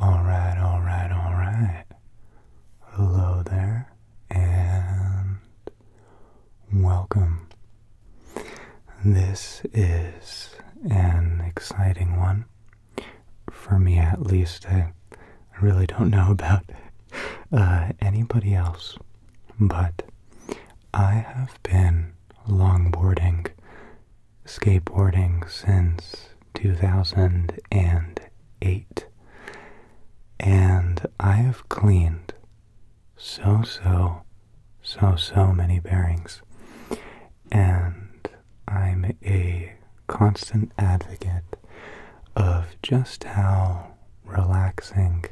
Alright, alright, alright. Hello there, and welcome. This is an exciting one. For me, at least. I, really don't know about uh, anybody else, but I have been longboarding skateboarding since 2008, and I have cleaned so, so, so, so many bearings, and I'm a constant advocate of just how relaxing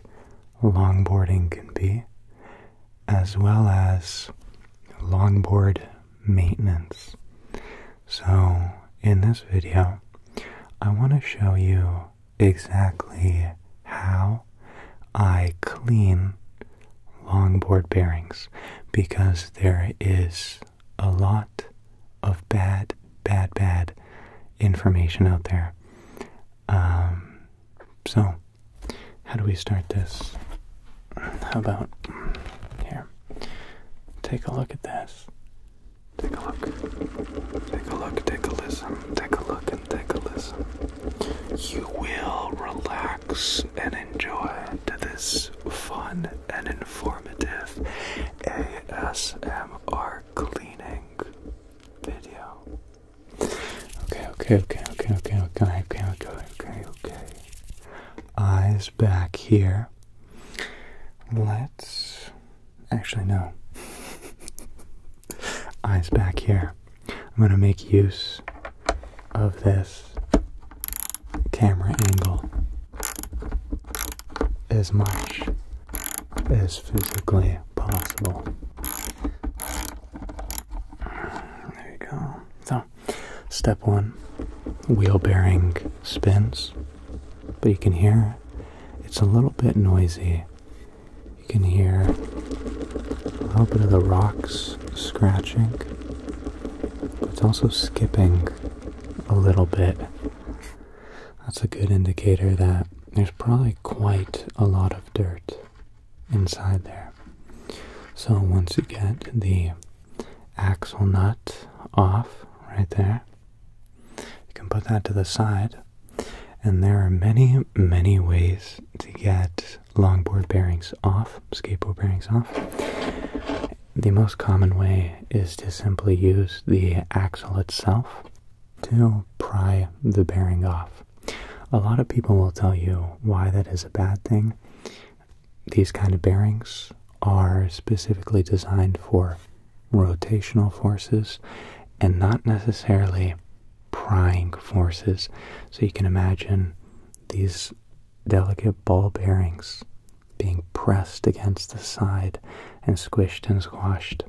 longboarding can be, as well as longboard maintenance. So, in this video, I want to show you exactly how I clean longboard bearings because there is a lot of bad, bad, bad information out there. Um, so, how do we start this? How about here? Take a look at this. Take a look. Take a look, take a listen. Take a look and take a listen. You will relax and enjoy this fun and informative ASMR cleaning video. Okay, okay, okay, okay, okay, okay, okay, okay, okay, okay. I back here. Let's actually no. Eyes back here. I'm going to make use of this camera angle as much as physically possible. There you go. It's step one wheel bearing spins, but you can hear it's a little bit noisy. You can hear a little bit of the rocks scratching, but it's also skipping a little bit. That's a good indicator that there's probably quite a lot of dirt inside there. So once you get the axle nut off right there. You can put that to the side. And there are many, many ways to get longboard bearings off, skateboard bearings off. The most common way is to simply use the axle itself to pry the bearing off. A lot of people will tell you why that is a bad thing these kind of bearings are specifically designed for rotational forces and not necessarily prying forces. So you can imagine these delicate ball bearings being pressed against the side and squished and squashed.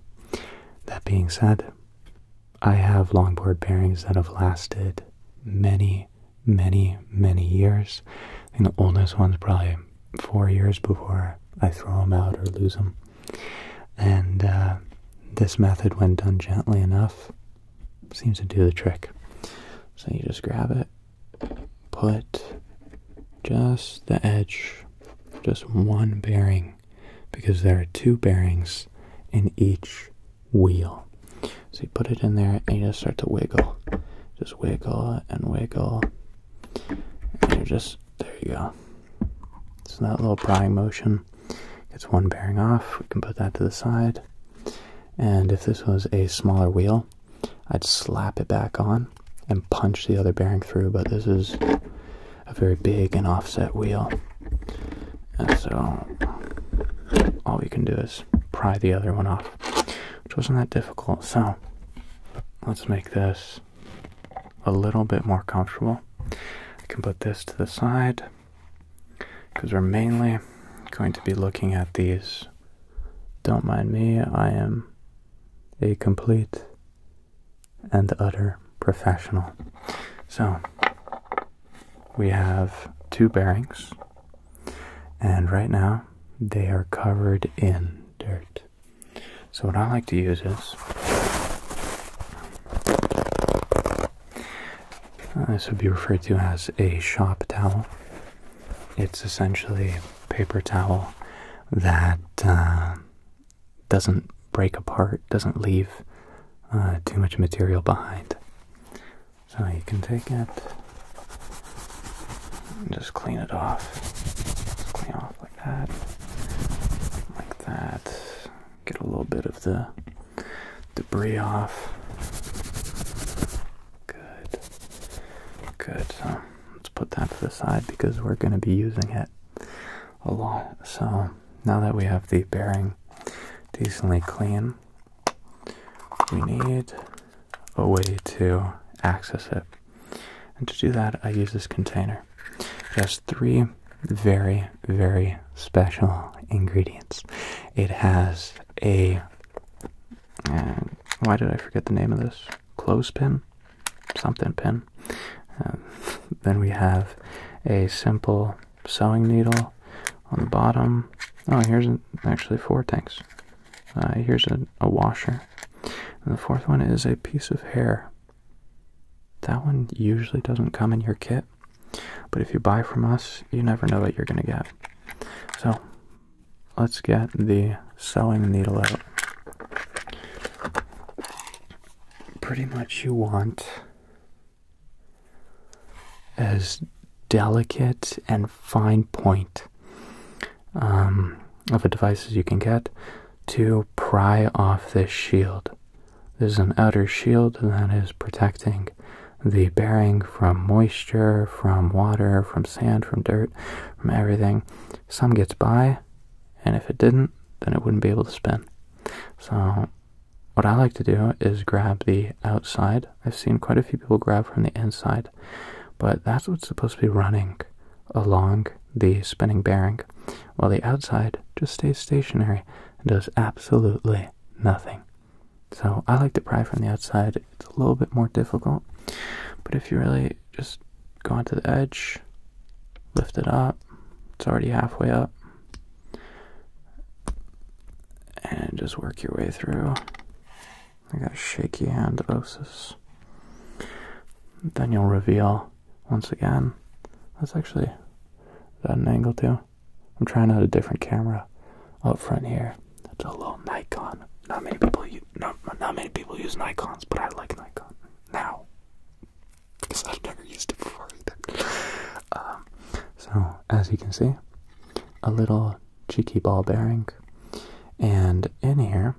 That being said, I have longboard bearings that have lasted many, many, many years. I the oldest one's probably four years before I throw them out or lose them. And uh, this method, when done gently enough, seems to do the trick. So you just grab it, put just the edge, just one bearing, because there are two bearings in each wheel. So you put it in there and you just start to wiggle. Just wiggle and wiggle. And you're just, there you go. So that little prying motion gets one bearing off. We can put that to the side. And if this was a smaller wheel, I'd slap it back on and punch the other bearing through. But this is a very big and offset wheel. And so all we can do is pry the other one off, which wasn't that difficult. So let's make this a little bit more comfortable. I can put this to the side because we're mainly going to be looking at these. Don't mind me, I am a complete and utter professional. So we have two bearings and right now, they are covered in dirt. So, what I like to use is uh, this would be referred to as a shop towel. It's essentially paper towel that uh, doesn't break apart, doesn't leave uh, too much material behind. So you can take it and just clean it off. clean off like that, like that. Get a little bit of the debris off. Good. Good. So let's put that to the side because we're going to be using it a lot. So now that we have the bearing decently clean, we need a way to access it. And to do that, I use this container. It has three very, very special ingredients. It has a. Uh, why did I forget the name of this? Clothespin? Something pin. Uh, then we have a simple sewing needle on the bottom. Oh, here's actually four tanks. Uh, here's a, a washer. And the fourth one is a piece of hair. That one usually doesn't come in your kit, but if you buy from us, you never know what you're going to get. So let's get the sewing needle out. Pretty much you want as delicate and fine point um, of a device as you can get to pry off this shield. There's an outer shield that is protecting the bearing from moisture, from water, from sand, from dirt, from everything. Some gets by, and if it didn't, then it wouldn't be able to spin. So what I like to do is grab the outside. I've seen quite a few people grab from the inside, but that's what's supposed to be running along the spinning bearing, while the outside just stays stationary and does absolutely nothing. So I like to pry from the outside. It's a little bit more difficult, but if you really just go onto the edge, lift it up, it's already halfway up and just work your way through. I got shaky hand osis. Then you'll reveal once again. That's actually at an angle too. I'm trying out a different camera up front here. That's a little Nikon. Not many people use not not many people use Nikon's, but I like Nikon now because I've never used it before either. Um, so, as you can see, a little cheeky ball bearing. And in here,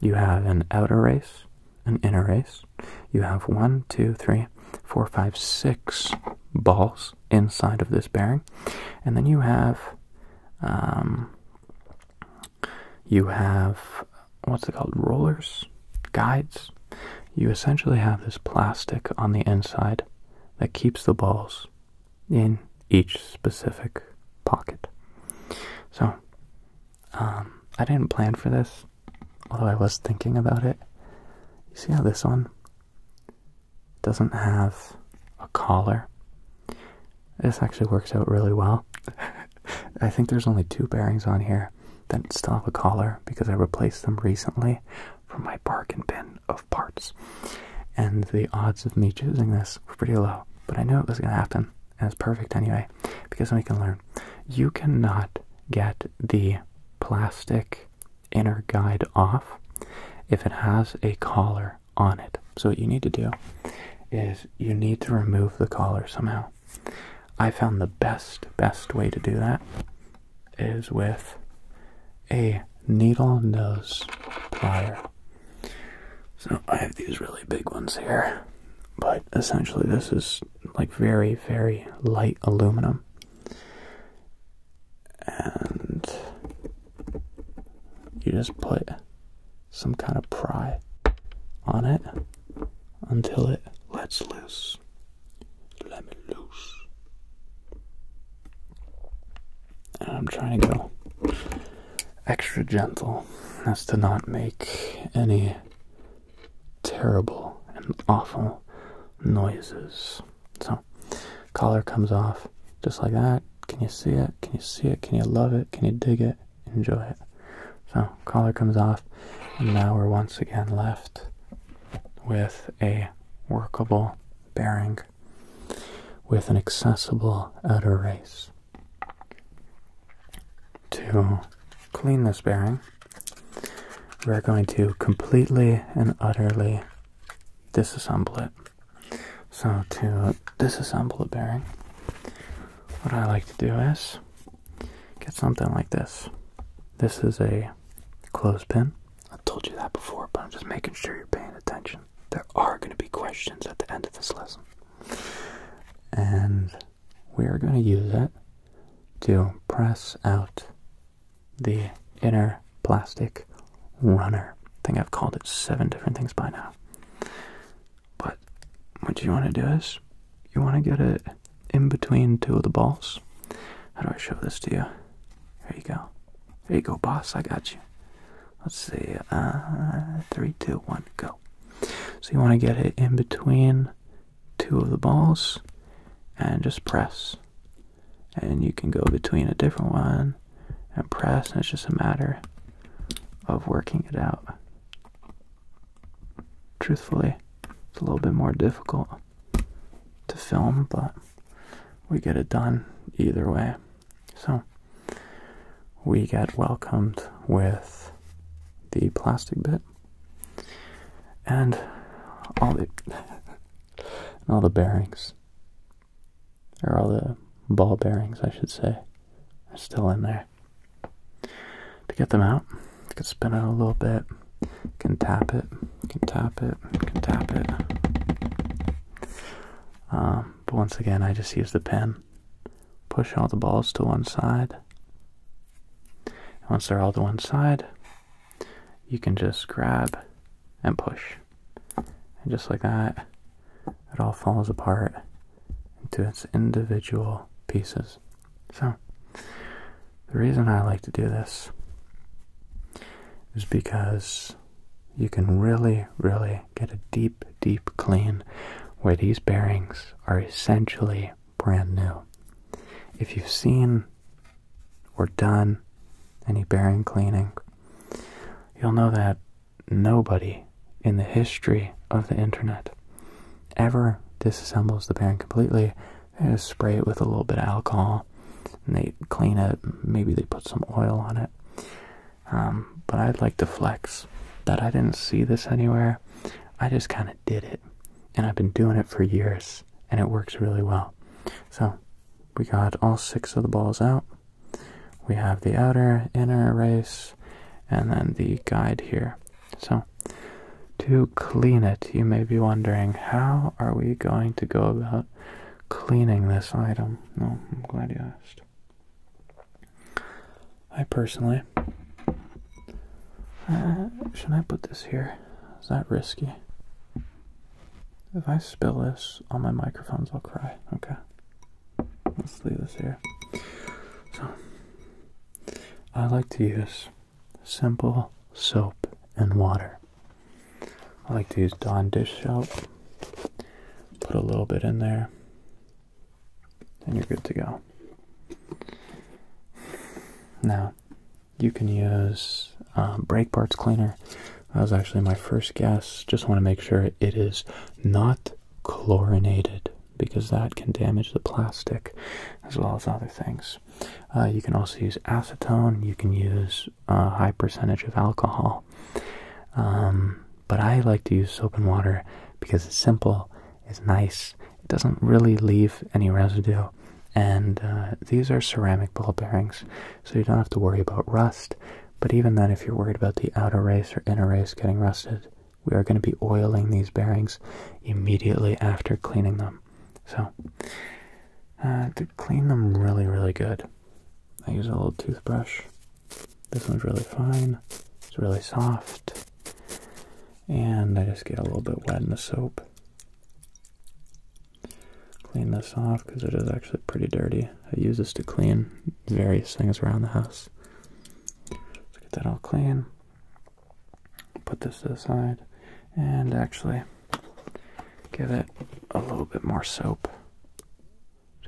you have an outer race, an inner race. You have one, two, three, four, five, six balls inside of this bearing. And then you have, um, you have, what's it called, rollers, guides. You essentially have this plastic on the inside that keeps the balls in each specific pocket. So, um, I didn't plan for this, although I was thinking about it. You see how this one doesn't have a collar? This actually works out really well. I think there's only two bearings on here that still have a collar because I replaced them recently from my bargain bin of parts. And the odds of me choosing this were pretty low, but I knew it was going to happen, It was perfect anyway, because we can learn. You cannot get the plastic inner guide off if it has a collar on it. So, what you need to do is you need to remove the collar somehow. I found the best, best way to do that is with a needle nose plier. So I have these really big ones here, but essentially this is like very, very light aluminum. And you just put some kind of pry on it until it lets loose. Let me loose. And I'm trying to go extra gentle as to not make any terrible and awful noises. So, collar comes off just like that. Can you see it? Can you see it? Can you love it? Can you dig it? Enjoy it. So, collar comes off, and now we're once again left with a workable bearing with an accessible outer race. To clean this bearing, we're going to completely and utterly disassemble it. So, to disassemble a bearing, what I like to do is get something like this. This is a clothespin I have told you that before, but I'm just making sure you're paying attention. There are going to be questions at the end of this lesson. And we are going to use it to press out the inner plastic runner. I think I've called it seven different things by now. But what you want to do is you want to get it in between two of the balls. How do I show this to you? There you go. There you go, boss. I got you. Let's see. Uh, three, two, one, go. So you want to get it in between two of the balls and just press. And you can go between a different one and press, and it's just a matter of working it out. Truthfully, it's a little bit more difficult to film, but we get it done either way. So we get welcomed with the plastic bit and all the all the bearings or all the ball bearings I should say are still in there. To get them out, you could spin it a little bit, can tap it, can tap it, can tap it. Um, but once again, I just use the pen. Push all the balls to one side. once they're all to one side, you can just grab and push. And just like that, it all falls apart into its individual pieces. So, the reason I like to do this is because you can really, really get a deep, deep clean where these bearings are essentially brand new. If you've seen or done any bearing cleaning, you'll know that nobody in the history of the internet ever disassembles the bearing completely and spray it with a little bit of alcohol and they clean it maybe they put some oil on it um, but i'd like to flex that i didn't see this anywhere i just kind of did it and i've been doing it for years and it works really well so we got all six of the balls out we have the outer inner race and then the guide here so to clean it. You may be wondering, how are we going to go about cleaning this item? No, I'm glad you asked. I personally, uh, should I put this here? Is that risky? If I spill this all my microphones, will cry. Okay. Let's leave this here. So, I like to use simple soap and water. I like to use Dawn dish soap. Put a little bit in there, and you're good to go. Now, you can use um, brake parts cleaner. That was actually my first guess. Just want to make sure it is not chlorinated because that can damage the plastic as well as other things. Uh, you can also use acetone. You can use a high percentage of alcohol. Um, but I like to use soap and water because it's simple, it's nice, it doesn't really leave any residue. And uh, these are ceramic ball bearings, so you don't have to worry about rust. But even then, if you're worried about the outer race or inner race getting rusted, we are going to be oiling these bearings immediately after cleaning them. So, uh, to clean them really, really good. I use a little toothbrush. This one's really fine. It's really soft. And I just get a little bit wet in the soap. Clean this off because it is actually pretty dirty. I use this to clean various things around the house. Let's get that all clean put this aside and actually give it a little bit more soap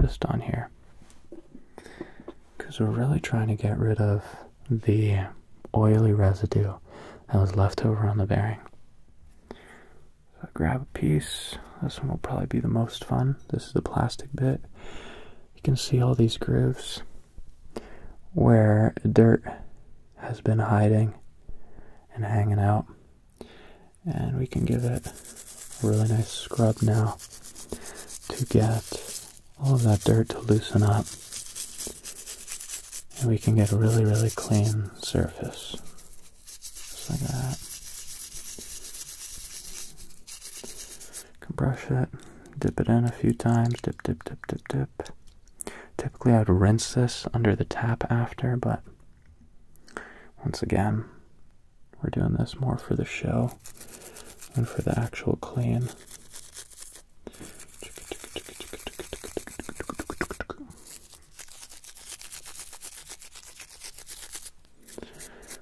just on here because we're really trying to get rid of the oily residue that was left over on the bearing. So grab a piece. This one will probably be the most fun. This is the plastic bit. You can see all these grooves where dirt has been hiding and hanging out. And we can give it a really nice scrub now to get all of that dirt to loosen up. And we can get a really, really clean surface. Just like that. Can brush it, dip it in a few times, dip, dip, dip, dip, dip. Typically, I'd rinse this under the tap after, but once again, we're doing this more for the show than for the actual clean.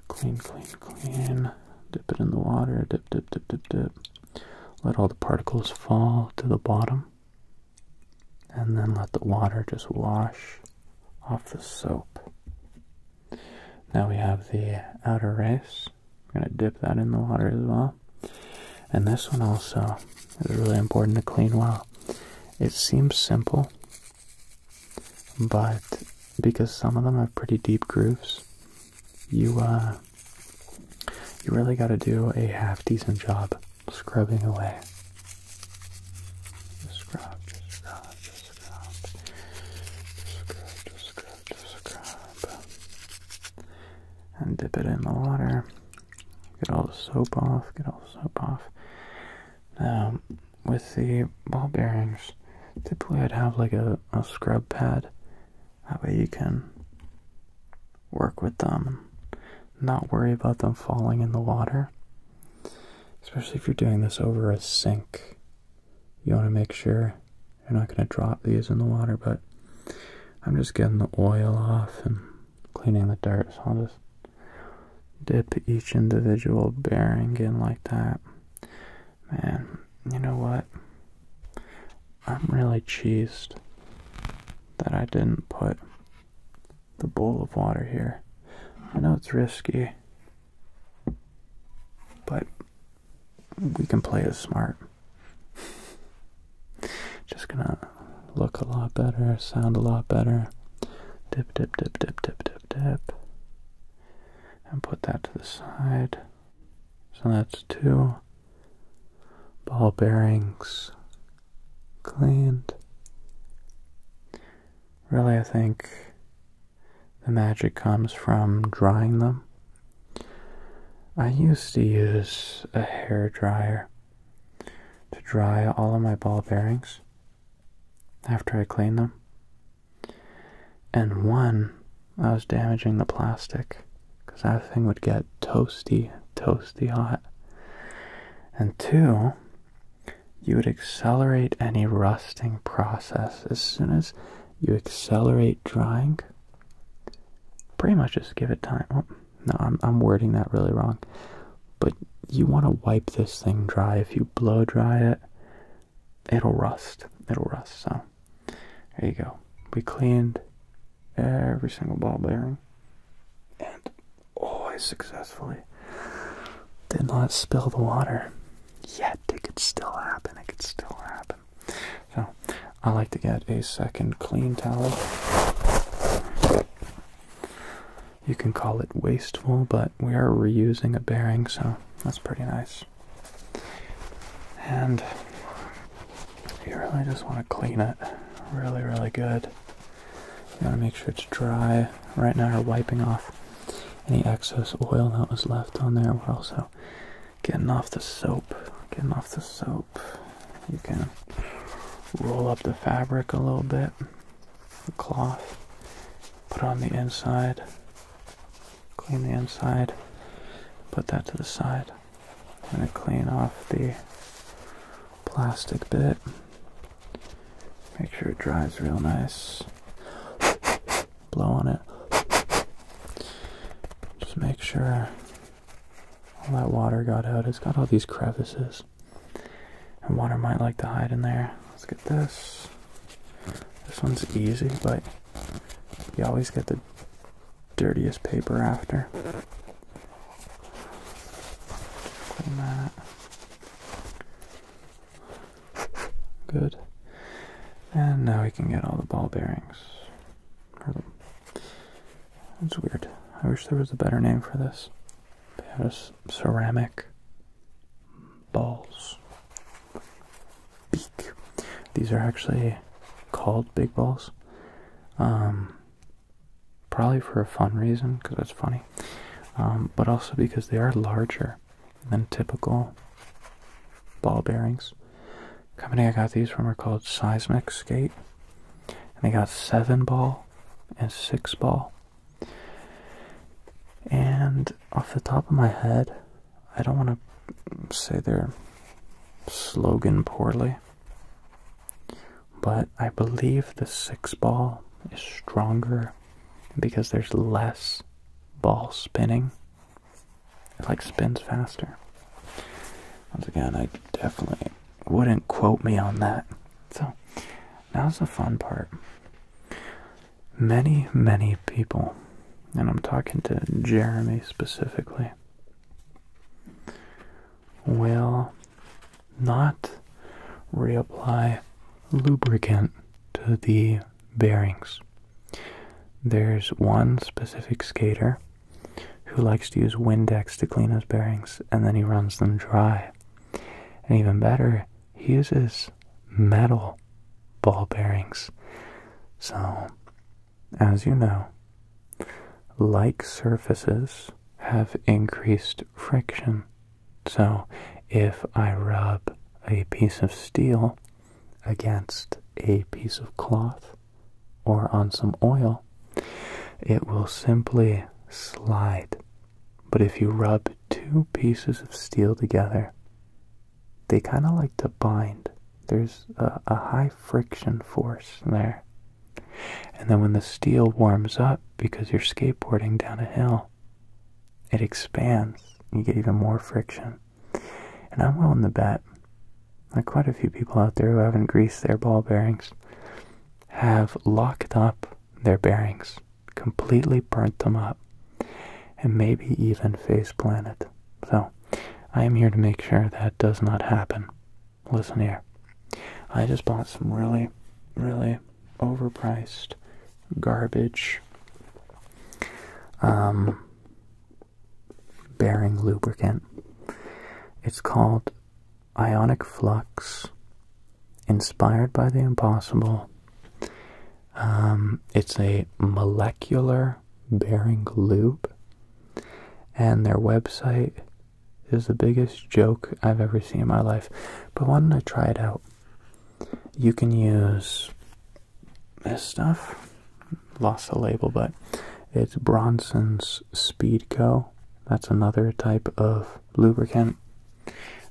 Clean, clean, clean. Dip it in the water. Dip, dip, dip, dip, dip. Let all the particles fall to the bottom and then let the water just wash off the soap. Now we have the outer race. We're going to dip that in the water as well. And this one also is really important to clean well. It seems simple, but because some of them have pretty deep grooves, you uh, you really got to do a half decent job scrubbing away. Just scrub, scrub, scrub, scrub, scrub, scrub, and dip it in the water. Get all the soap off. Get all the soap off. Now, um, with the ball bearings, typically I'd have like a, a scrub pad that way you can work with them and not worry about them falling in the water. Especially if you're doing this over a sink. You want to make sure you're not going to drop these in the water, but I'm just getting the oil off and cleaning the dirt, so I'll just dip each individual bearing in like that. Man, you know what? I'm really cheesed that I didn't put the bowl of water here. I know it's risky, but we can play it smart. Just gonna look a lot better, sound a lot better. Dip, dip, dip, dip, dip, dip, dip. And put that to the side. So that's two ball bearings cleaned. Really, I think the magic comes from drying them. I used to use a hair dryer to dry all of my ball bearings after I cleaned them. And one, I was damaging the plastic because that thing would get toasty, toasty hot. And two, you would accelerate any rusting process. As soon as you accelerate drying, pretty much just give it time. Oh, no, I'm, I'm wording that really wrong. But you want to wipe this thing dry. If you blow dry it, it'll rust. It'll rust. So there you go. We cleaned every single ball bearing and always successfully did not spill the water. Yet it could still happen. It could still happen. So I like to get a second clean towel. You can call it wasteful, but we are reusing a bearing, so that's pretty nice. And you really just want to clean it really, really good. You want to make sure it's dry. Right now, we're wiping off any excess oil that was left on there. We're also getting off the soap. Getting off the soap. You can roll up the fabric a little bit, the cloth, put on the inside, clean the inside, put that to the side. I'm going to clean off the plastic bit. Make sure it dries real nice. Blow on it. Just make sure all that water got out. It's got all these crevices. And water might like to hide in there. Let's get this. This one's easy, but you always get the dirtiest paper after. Clean that. Good. And now we can get all the ball bearings. That's weird. I wish there was a better name for this. ceramic balls. Beak. These are actually called big balls um, probably for a fun reason because it's funny, um, but also because they are larger than typical ball bearings. The company I got these from are called Seismic Skate, and they got seven ball and six ball. And off the top of my head, I don't want to say their slogan poorly, but I believe the six ball is stronger because there's less ball spinning. It like spins faster. Once again, I definitely wouldn't quote me on that. So, now's the fun part. Many, many people, and I'm talking to Jeremy specifically, will not reapply lubricant to the bearings. There's one specific skater who likes to use Windex to clean his bearings and then he runs them dry. And even better, he uses metal ball bearings. So as you know, like surfaces have increased friction. So if I rub a piece of steel against a piece of cloth or on some oil, it will simply slide. But if you rub two pieces of steel together, they kind of like to bind there's a, high friction force there. And then when the steel warms up because you're skateboarding down a hill, it expands. You get even more friction. And I'm willing to bet that quite a few people out there who haven't greased their ball bearings have locked up their bearings, completely burnt them up, and maybe even face planted. So, I am here to make sure that does not happen. Listen here. I just bought some really, really overpriced garbage um, bearing lubricant. It's called Ionic Flux, inspired by the impossible. Um, it's a molecular Bearing Bering Lube, and their website is the biggest joke I've ever seen in my life. But why don't I try it out? You can use this stuff. Lost the label, but it's Bronson's Speed Speedco. That's another type of lubricant.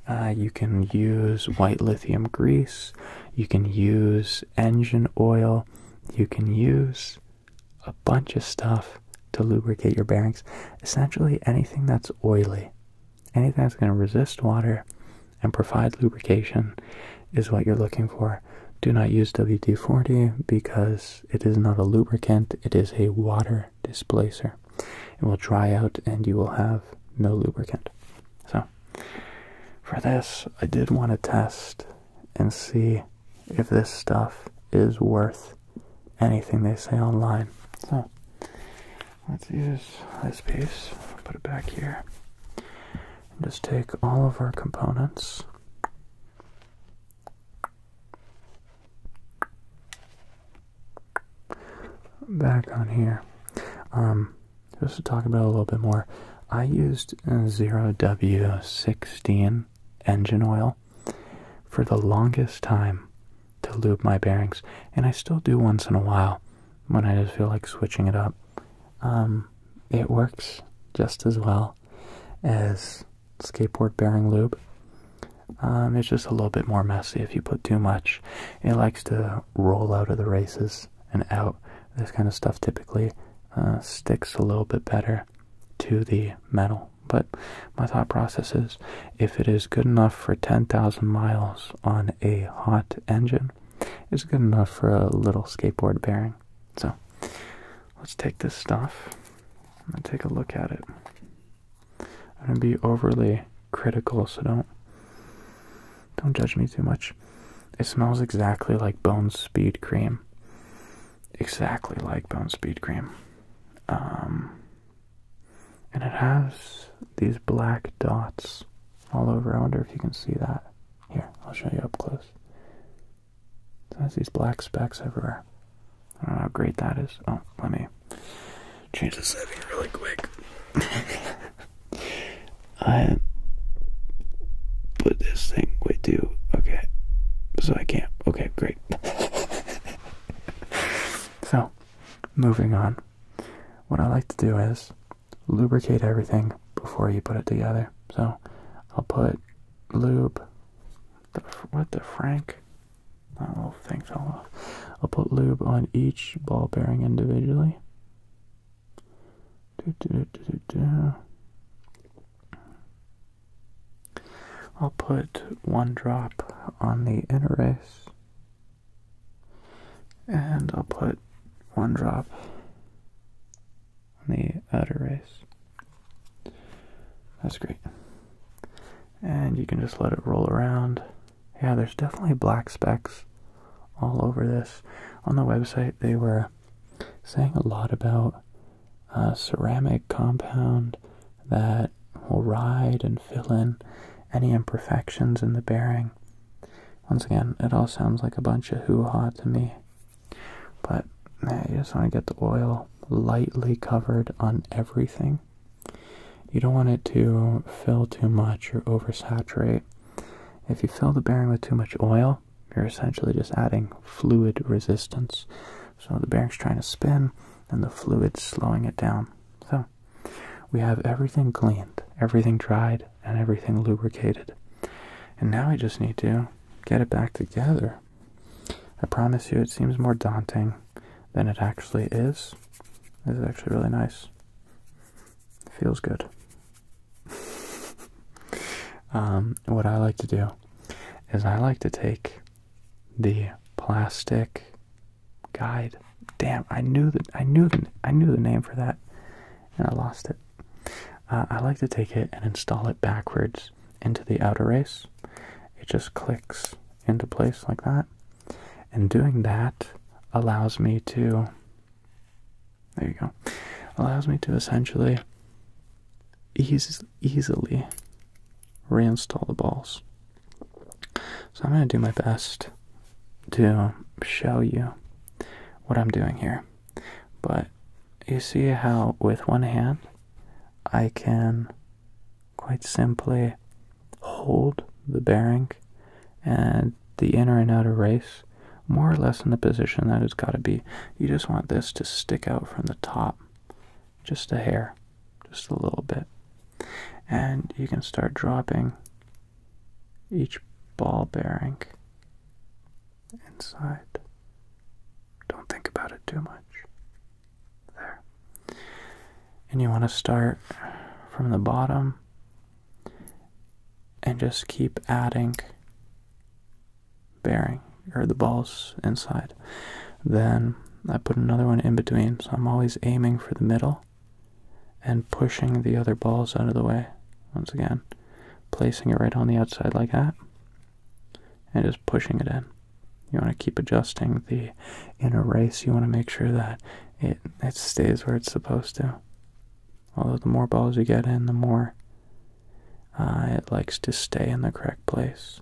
Uh, you can use white lithium grease. You can use engine oil you can use a bunch of stuff to lubricate your bearings. Essentially, anything that's oily, anything that's going to resist water and provide lubrication is what you're looking for. Do not use WD 40 because it is not a lubricant, it is a water displacer. It will dry out and you will have no lubricant. So, for this, I did want to test and see if this stuff is worth anything they say online. So let's use this piece, put it back here, and just take all of our components. Back on here. Um, just to talk about a little bit more, I used zero W sixteen engine oil for the longest time to lube my bearings, and I still do once in a while when I just feel like switching it up. Um, it works just as well as skateboard bearing lube. Um, it's just a little bit more messy if you put too much. It likes to roll out of the races and out this kind of stuff typically uh, sticks a little bit better to the metal. But my thought process is if it is good enough for 10,000 miles on a hot engine, it's good enough for a little skateboard bearing. So let's take this stuff and take a look at it. I'm going to be overly critical, so don't don't judge me too much. It smells exactly like Bone Speed Cream. Exactly like Bone Speed Cream. Um, and it has these black dots all over. I wonder if you can see that. Here, I'll show you up close. It has these black specks everywhere. I don't know how great that is. Oh, let me change the setting really quick. I put this thing. Wait, do okay. So I can't. Okay, great. so, moving on. What I like to do is lubricate everything before you put it together. So, I'll put lube. The, what the frank? That little thing fell off. I'll put lube on each ball bearing individually. I'll put one drop on the inner race, and I'll put one drop on the outer race. That's great. And you can just let it roll around. Yeah, there's definitely black specks all over this. On the website, they were saying a lot about a ceramic compound that will ride and fill in any imperfections in the bearing. Once again, it all sounds like a bunch of hoo-ha to me, but you just want to get the oil lightly covered on everything. You don't want it to fill too much or oversaturate. If you fill the bearing with too much oil, you're essentially just adding fluid resistance. So the bearing's trying to spin and the fluid's slowing it down. So we have everything cleaned, everything dried, and everything lubricated. And now we just need to get it back together. I promise you, it seems more daunting than it actually is. This is actually really nice. It feels good. Um, what I like to do is I like to take the plastic guide. Damn, I knew the I knew the, I knew the name for that, and I lost it. Uh, I like to take it and install it backwards into the outer race. It just clicks into place like that, and doing that allows me to there you go. Allows me to essentially eas easily reinstall the balls. So I'm going to do my best to show you what I'm doing here. But you see how with one hand I can quite simply hold the bearing and the inner and outer race more or less in the position that it's got to be. You just want this to stick out from the top, just a hair, just a little bit. And you can start dropping each ball bearing inside. Don't think about it too much. There. And you want to start from the bottom and just keep adding bearing or the balls inside. Then I put another one in between, so I'm always aiming for the middle and pushing the other balls out of the way. Once again, placing it right on the outside like that and just pushing it in. You want to keep adjusting the inner race. You want to make sure that it, it stays where it's supposed to. Although the more balls you get in, the more uh, it likes to stay in the correct place.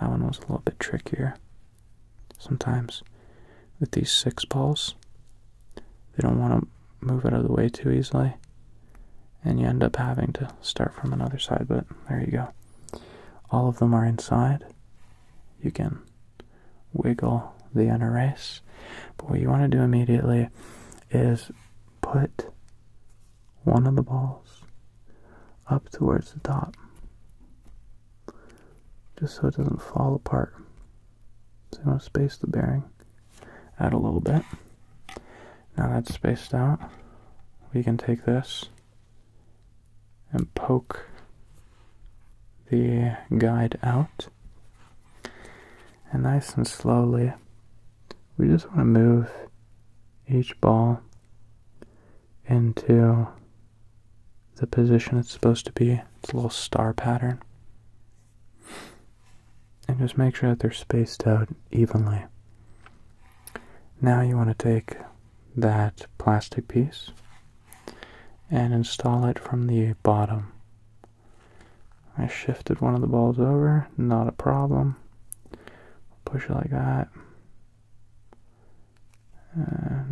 That one was a little bit trickier. Sometimes with these six balls, they don't want to move out of the way too easily. And you end up having to start from another side, but there you go. All of them are inside. You can wiggle the NRS. But what you want to do immediately is put one of the balls up towards the top just so it doesn't fall apart. So you want to space the bearing out a little bit. Now that's spaced out, we can take this and poke the guide out and nice and slowly, we just want to move each ball into the position it's supposed to be, its a little star pattern. And just make sure that they're spaced out evenly. Now you want to take that plastic piece and install it from the bottom I shifted one of the balls over, not a problem. Push it like that.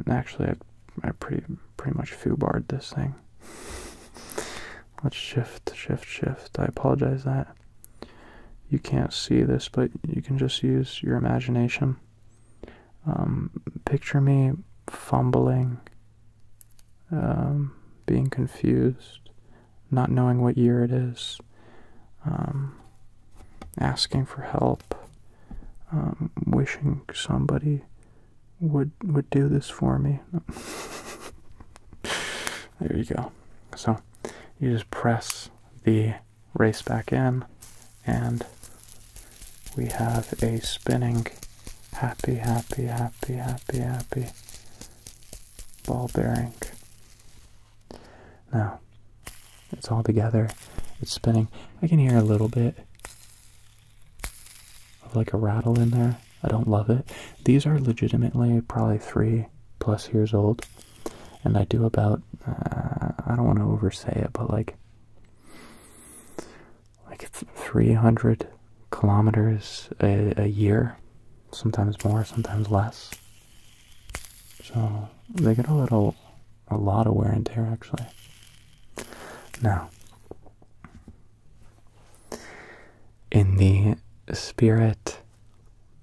actually, I, pretty pretty much foo barred this thing. Let's shift, shift, shift. I apologize that you can't see this, but you can just use your imagination. Um, picture me fumbling um, being confused, not knowing what year it is, um, asking for help, um, wishing somebody would would do this for me. there you go. So you just press the race back in, and we have a spinning happy, happy, happy, happy, happy ball bearing. Now, it's all together, it's spinning. I can hear a little bit of like a rattle in there. I don't love it. These are legitimately probably three plus years old, and I do about, uh, I don't want to oversay it, but like like 300 kilometers a, year, sometimes more, sometimes less. So they get a little, a lot of wear and tear actually. Now, in the spirit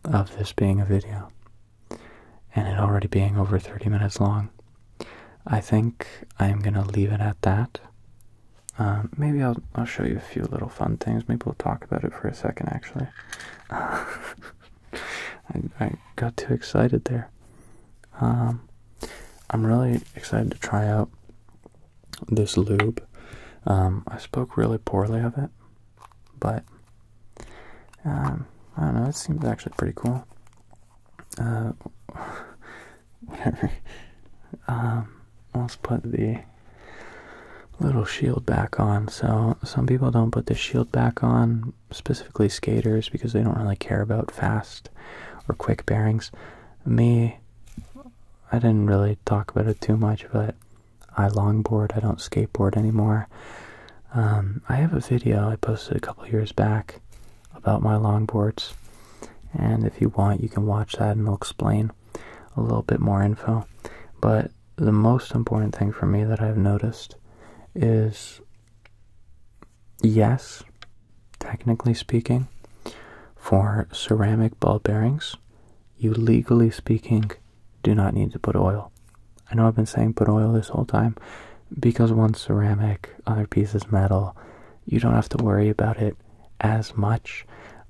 of this being a video and it already being over 30 minutes long, I think I'm going to leave it at that. Um, maybe I'll I'll show you a few little fun things. Maybe we'll talk about it for a second. Actually, I I got too excited there. Um, I'm really excited to try out this lube. Um, I spoke really poorly of it, but um, I don't know. It seems actually pretty cool. Uh, whatever. Um, let's put the little shield back on. So some people don't put the shield back on, specifically skaters, because they don't really care about fast or quick bearings. Me, I didn't really talk about it too much, but I longboard. I don't skateboard anymore. Um, I have a video I posted a couple years back about my longboards. And if you want, you can watch that and i will explain a little bit more info. But the most important thing for me that I've noticed is yes, technically speaking, for ceramic ball bearings, you legally speaking do not need to put oil. I know I've been saying put oil this whole time because one ceramic, other piece is metal, you don't have to worry about it as much.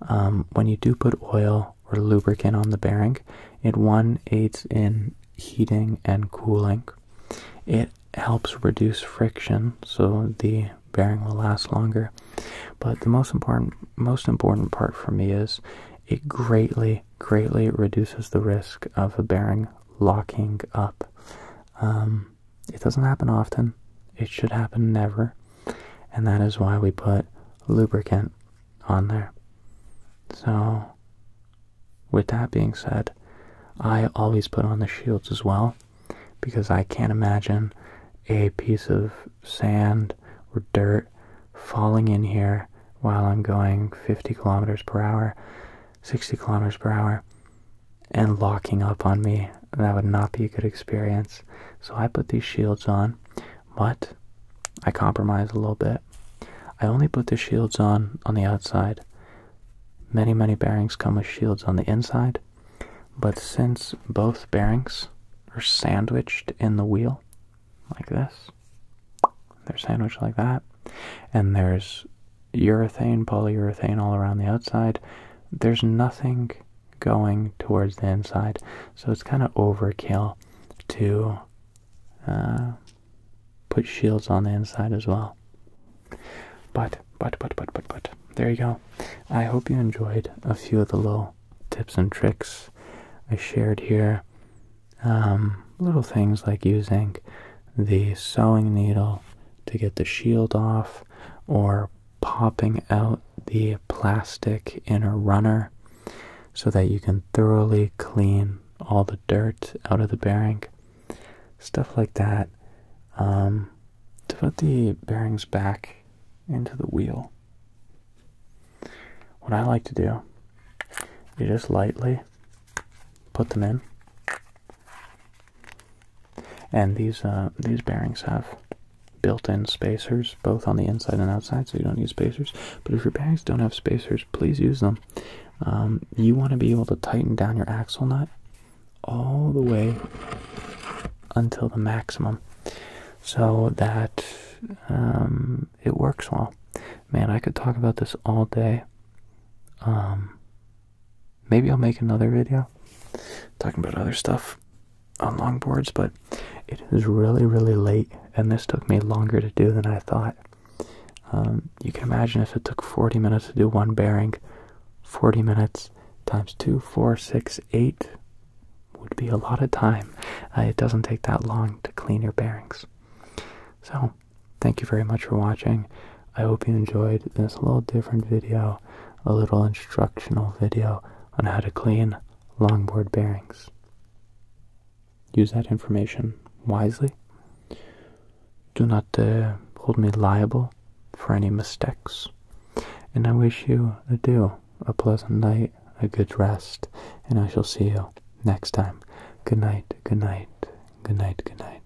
Um, when you do put oil or lubricant on the bearing, it one aids in heating and cooling. It helps reduce friction so the bearing will last longer. But the most important most important part for me is it greatly greatly reduces the risk of a bearing locking up. Um, it doesn't happen often. It should happen never. And that is why we put lubricant on there. So, with that being said, I always put on the shields as well because I can't imagine a piece of sand or dirt falling in here while I'm going 50 kilometers per hour, 60 kilometers per hour, and locking up on me. That would not be a good experience. So I put these shields on, but I compromise a little bit. I only put the shields on on the outside. Many, many bearings come with shields on the inside, but since both bearings are sandwiched in the wheel, like this, they're sandwiched like that, and there's urethane, polyurethane all around the outside. There's nothing going towards the inside, so it's kind of overkill to uh, put shields on the inside as well. But, but, but, but, but, but, there you go. I hope you enjoyed a few of the little tips and tricks I shared here. Um, little things like using the sewing needle to get the shield off or popping out the plastic inner runner so that you can thoroughly clean all the dirt out of the bearing. Stuff like that. Um, to put the bearings back into the wheel, what I like to do is just lightly put them in and these uh, these bearings have built-in spacers both on the inside and outside, so you don't need spacers. But if your bearings don't have spacers, please use them. Um, you want to be able to tighten down your axle nut all the way until the maximum, so that um, it works well. Man, I could talk about this all day. Um, maybe I'll make another video talking about other stuff on longboards, but it is really, really late, and this took me longer to do than I thought. Um, you can imagine if it took 40 minutes to do one bearing, 40 minutes times two, four, six, eight would be a lot of time. Uh, it doesn't take that long to clean your bearings. So, Thank you very much for watching. I hope you enjoyed this little different video, a little instructional video on how to clean longboard bearings. Use that information wisely. Do not uh, hold me liable for any mistakes. And I wish you adieu, a pleasant night, a good rest, and I shall see you next time. Good night, good night, good night, good night.